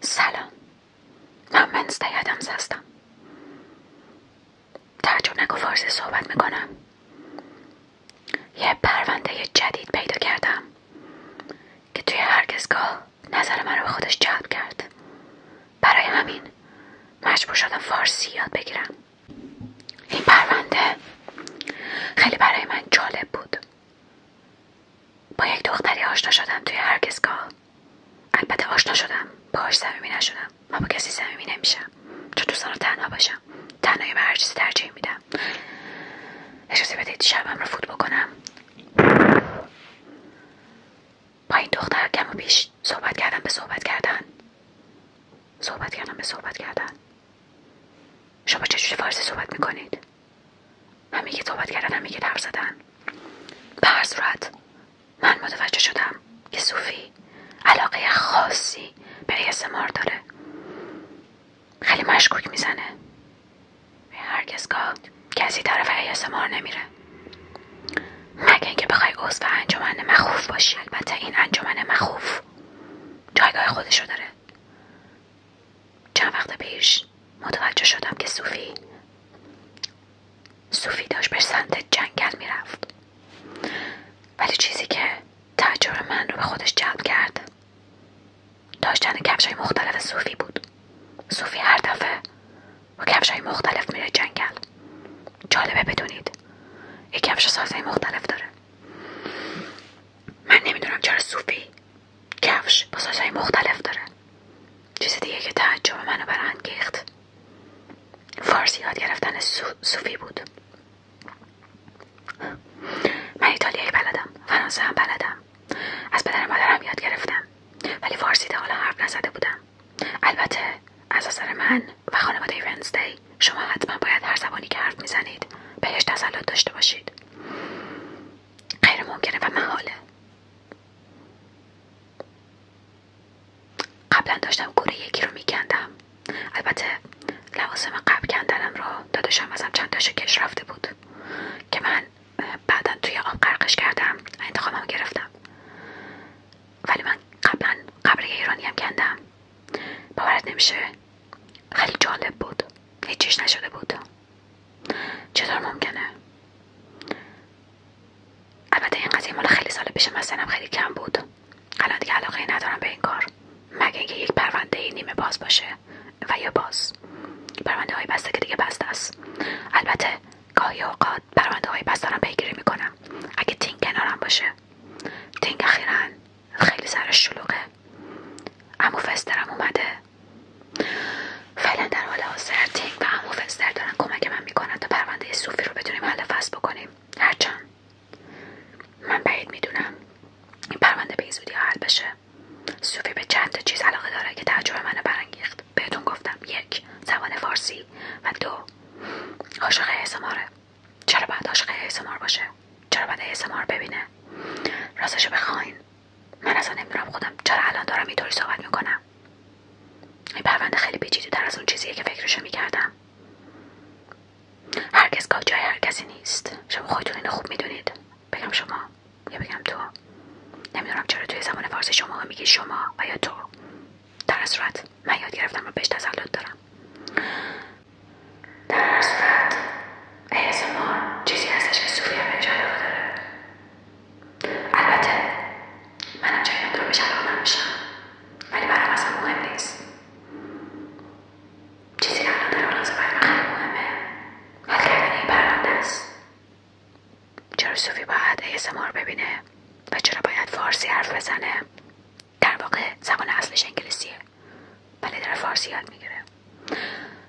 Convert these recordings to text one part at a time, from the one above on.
سلام من منز یادمز هستم چون نگو فارسی صحبت میکنم یه پرونده جدید پیدا کردم که توی هرگزگاه نظر من رو به خودش جلب کرد برای همین مجبور شدم فارسی یاد بگیرم این پرونده خیلی برای من جالب بود با یک دختری آشنا شدم توی هرگزگاه البته آشنا شدم باهاش صمیمی نشدم ما با کسی صمیمی نمیشم چون دوستان رو تنها باشم تنهایی به هر چیزی ترجیح میدم اجازه بدید شبم رو فوت بکنم با این دختر کم و بیش صحبت کردم به صحبت کردن صحبت کردم به صحبت کردن شما چجوری فارسی صحبت میکنید همه که صحبت کردن همه که حرف زدن به هر صورت من متوجه شدم که صوفی علاقه خاصی به ASMR داره خیلی مشکوک میزنه هرکس گفت کسی طرف ASMR نمیره مگه اینکه بخوای عضو انجمن مخوف باشی البته این انجمن مخوف جایگاه خودشو داره چند وقت پیش متوجه شدم که صوفی صوفی داشت به سمت جنگل میرفت ولی چیزی که تعجب من رو به خودش جلب کرد داشتن کفش های مختلف صوفی بود صوفی هر دفعه با کفش مختلف میره جنگل جالبه بدونید یک کفش سازه مختلف داره من نمیدونم چرا صوفی کفش با های مختلف داره چیز دیگه که تعجب منو برانگیخت فارسی یاد گرفتن صوفی بود من ایتالیایی بلدم فرانسه هم بلدم از پدر مادرم یاد گرفتم ولی فارسی تا حالا حرف نزده بودم البته از اثر من و خانواده ونزدی شما حتما باید هر زبانی که حرف میزنید بهش تسلط داشته باشید غیر ممکنه و محاله قبلا داشتم گوره یکی رو میکندم البته لوازم قبل کندنم رو داداشم ازم چند تاشو کش رفته بود که من بعدا توی آب قرقش کردم انتخابم گرفتم ولی من قبلا قبر ایرانی هم کندم باورت نمیشه خیلی جالب بود هیچیش نشده بود چطور ممکنه البته این قضیه مال خیلی سال پیش من خیلی کم بود الان دیگه علاقه ندارم به این کار مگه اینکه یک پرونده نیمه باز باشه و یا باز پرونده های بسته که دیگه بسته است البته گاهی اوقات پرونده های بسته پیگیری میکنم اگه تین کنارم باشه دینگ اخیرا خیلی سرش شلوغه امو فسترم اومده فعلا در حال حاضر دینگ و امو فستر دارن کمک من میکنن تا پرونده صوفی رو بتونیم حل فصل بکنیم هرچند من بعید میدونم این پرونده به این زودی حل بشه صوفی به چند تا چیز علاقه داره که تعجب منو برانگیخت بهتون گفتم یک زبان فارسی و دو عاشق اسماره چرا بعد عاشق اسمار باشه چرا باید اسمار ببینه راستشو بخواین من اصلا نمیدونم خودم چرا الان دارم اینطوری صحبت میکنم این پرونده خیلی پیچیده در از اون چیزیه که فکرشو میکردم هرکس گاه جای هر کسی نیست شما خودتون اینو خوب میدونید بگم شما یا بگم تو نمیدونم چرا توی زمان فارسی شما میگی شما و یا تو در صورت من یاد گرفتم و بهش تسلط دارم در صورت ASMR چیزی هستش که صوفی بهش علاقه داره البته منم جای اون رو بهش علاقه نمیشم ولی برام اصلا مهم نیست چیزی که الان در لازم برای من خیلی مهمه حل کردن این پرونده است چرا سوفی باید ASMR ببینه و چرا باید فارسی حرف بزنه در واقع زبان اصلش انگلیسیه ولی داره فارسی یاد میگیره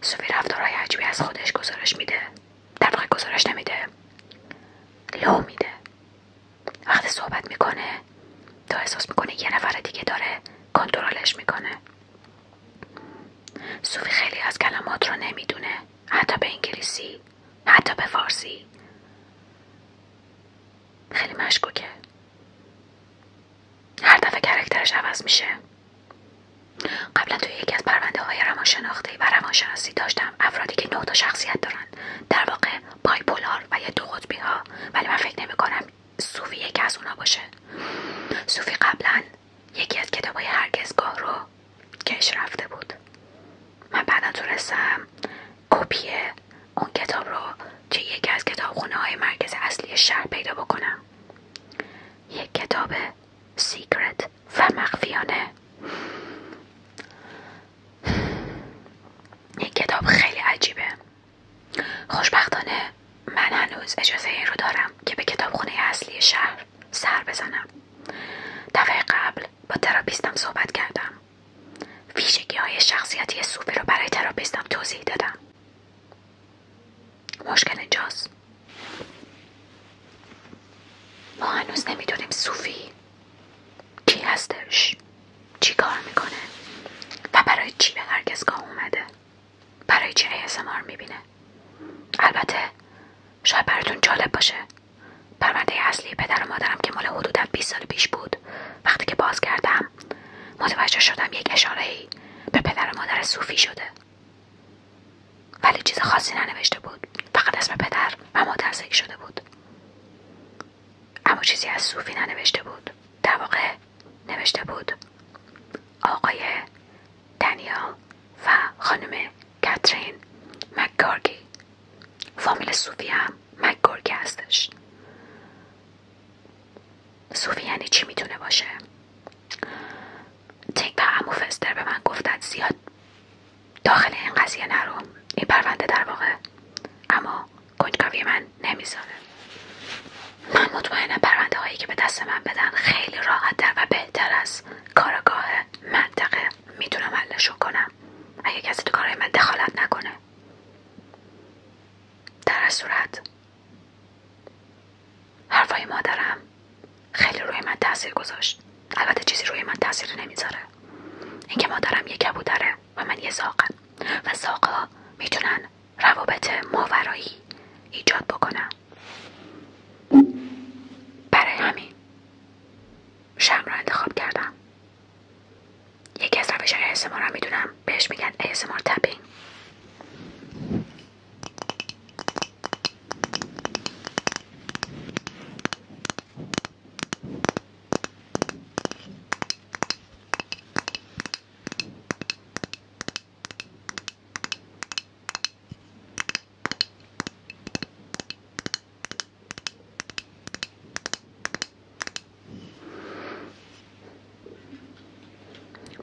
سوفی رفتارهای عجیبی از خودش گزارش میده در واقع گزارش نمیده لو میده وقتی صحبت میکنه تا احساس میکنه یه نفر دیگه داره کنترلش میکنه سوفی خیلی از کلمات رو نمیدونه حتی به انگلیسی حتی به فارسی خیلی مشکوکه هر دفعه کرکترش عوض میشه قبلا توی یکی از پرونده های روانشناختی و روانشناسی داشتم افرادی که نه شخصیت دارن در واقع بایپولار و یه دو قطبی ها ولی من فکر نمیکنم کنم یکی از اونا باشه صوفی قبلا یکی از کتاب های هرگزگاه رو کش رفته بود من بعدا رسم کپی اون کتاب رو چه یکی از کتابخونه های مرکز اصلی شهر پیدا بکنم یک کتاب سیکرت و مخفیانه یک کتاب خیلی عجیبه خوشبختانه من هنوز اجازه این رو دارم که به خونه اصلی شهر سر بزنم دفعه قبل با تراپیستم صحبت کردم ویژگی های شخصیتی صوفی رو برای تراپیستم توضیح دادم مشکل اینجاست ما هنوز نمیدونیم صوفی کی هستش چی کار میکنه و برای چی به هرگزگاه اومده برای چی می میبینه البته شاید براتون جالب باشه پرونده اصلی پدر و مادرم که مال حدودا 20 سال پیش بود وقتی که باز کردم متوجه شدم یک اشاره ای به پدر و مادر صوفی شده ولی چیز خاصی ننوشته بود فقط اسم پدر و مادر ذکر شده بود اما چیزی از صوفی ننوشته بود در واقع نوشته بود آقای دنیال و خانم کاترین مکگارگی فامیل صوفی هم مکگورگی هستش صوفی یعنی چی میتونه باشه تیک و امو فستر به من گفتن زیاد داخل این قضیه نرو این پرونده در واقع اما کنجکاوی من نمیذاره من مطمئنم پرونده هایی که به دست من بدن خیلی راحت و بهتر از کارگاه منطقه میتونم حلشو کنم اگه کسی تو کارای من دخالت نکنه در هر صورت حرفای مادرم خیلی روی من تاثیر گذاشت البته چیزی روی من تاثیر نمیذاره اینکه مادرم یه کبودره و من یه زاقم و زاقا میتونن روابط ماورایی ایجاد بکنن برای همین شم را انتخاب کردم یکی از روش های ASMR میدونم بهش میگن اسمار تپین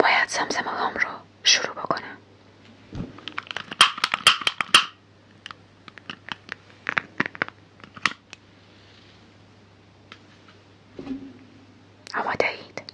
باید زمزم رو شروع بکنم اما دهید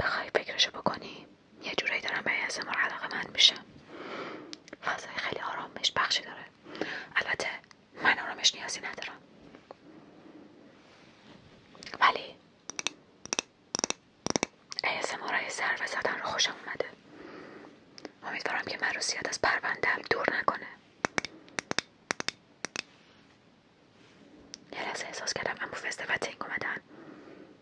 بخای فکرشو بکنی یه جورایی دارم به اسمار علاقه من میشه فضای خیلی آرامش بخشی داره البته من آرامش نیازی ندارم ولی ASMR سر و زدن رو خوشم اومده امیدوارم که من از پروندم دور نکنه یه لحظه احساس کردم امو و تینگ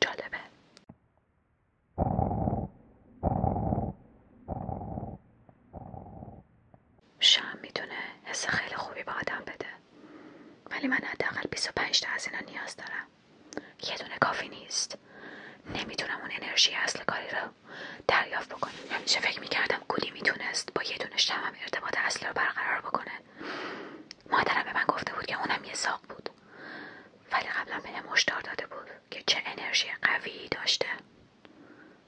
جالبه شم میتونه حس خیلی خوبی به آدم بده ولی من حداقل 25 تا از اینا نیاز دارم یه دونه کافی نیست نمیتونم اون انرژی اصل کاری رو دریافت بکنم همیشه فکر میکردم گودی میتونست با یه دونه تمام ارتباط اصل رو برقرار بکنه مادرم به من گفته بود که اونم یه ساق بود ولی قبلا به هشدار داده بود که چه انرژی قوی داشته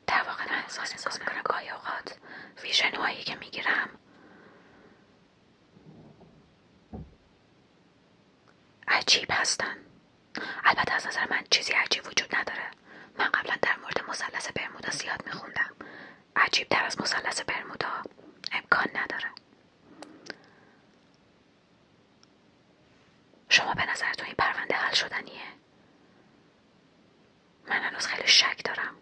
در واقع من احساس میکنم گاهی اوقات ویژنهایی که میگیرم عجیب هستن البته از نظر من چیزی عجیب وجود نداره من قبلا در مورد مثلث برمودا زیاد میخوندم عجیب در از مثلث برمودا امکان نداره شما به نظرتون این پرونده حل شدنیه من هنوز خیلی شک دارم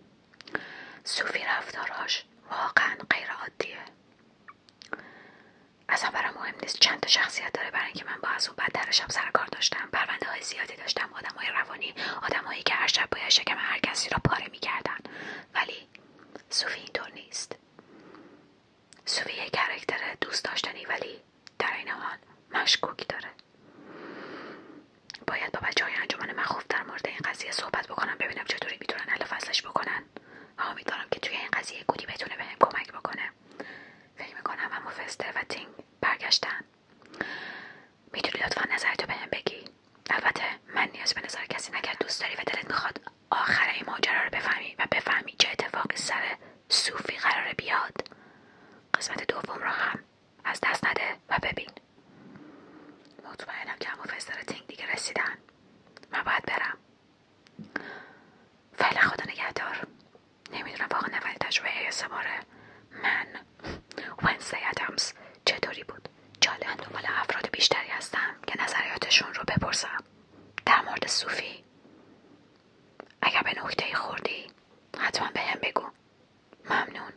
صوفی رفتاراش واقعا غیر عادیه اصلا برام مهم نیست چند تا شخصیت داره برای اینکه من با از اون بدترشم سر کار داشتم پرونده های زیادی داشتم آدمهای روانی آدمهایی که هر شب باید شکم هر کسی را پاره میکردن ولی سوفی اینطور نیست سوفی یک کرکتر دوست داشتنی ولی در این حال مشکوکی داره باید با بچه های انجمن مخوف در مورد این قضیه صحبت بکنم ببینم چطوری میتونن حل فصلش بکنن و امیدوارم که توی این قضیه گودی بتونه بهم کمک بکنه فکر میکنم اما فستر و تینگ برگشتن میتونی لطفا نظرتو بهم بگی البته من نیاز به نظر کسی نگر دوست داری و دلت میخواد آخر این ماجرا رو بفهمی و بفهمی چه اتفاقی سر صوفی قراره بیاد قسمت دوم را هم از دست نده و ببین مطمئنم که همون تینگ دیگه رسیدن من باید برم فعلا خدا نگهدار نمیدونم واقعا اولین تجربه ASMR من ونسی ادمز چطوری بود جالب من دنبال افراد بیشتری هستم که نظریاتشون رو بپرسم در مورد صوفی اگر به نکته خوردی حتما به هم بگو ممنون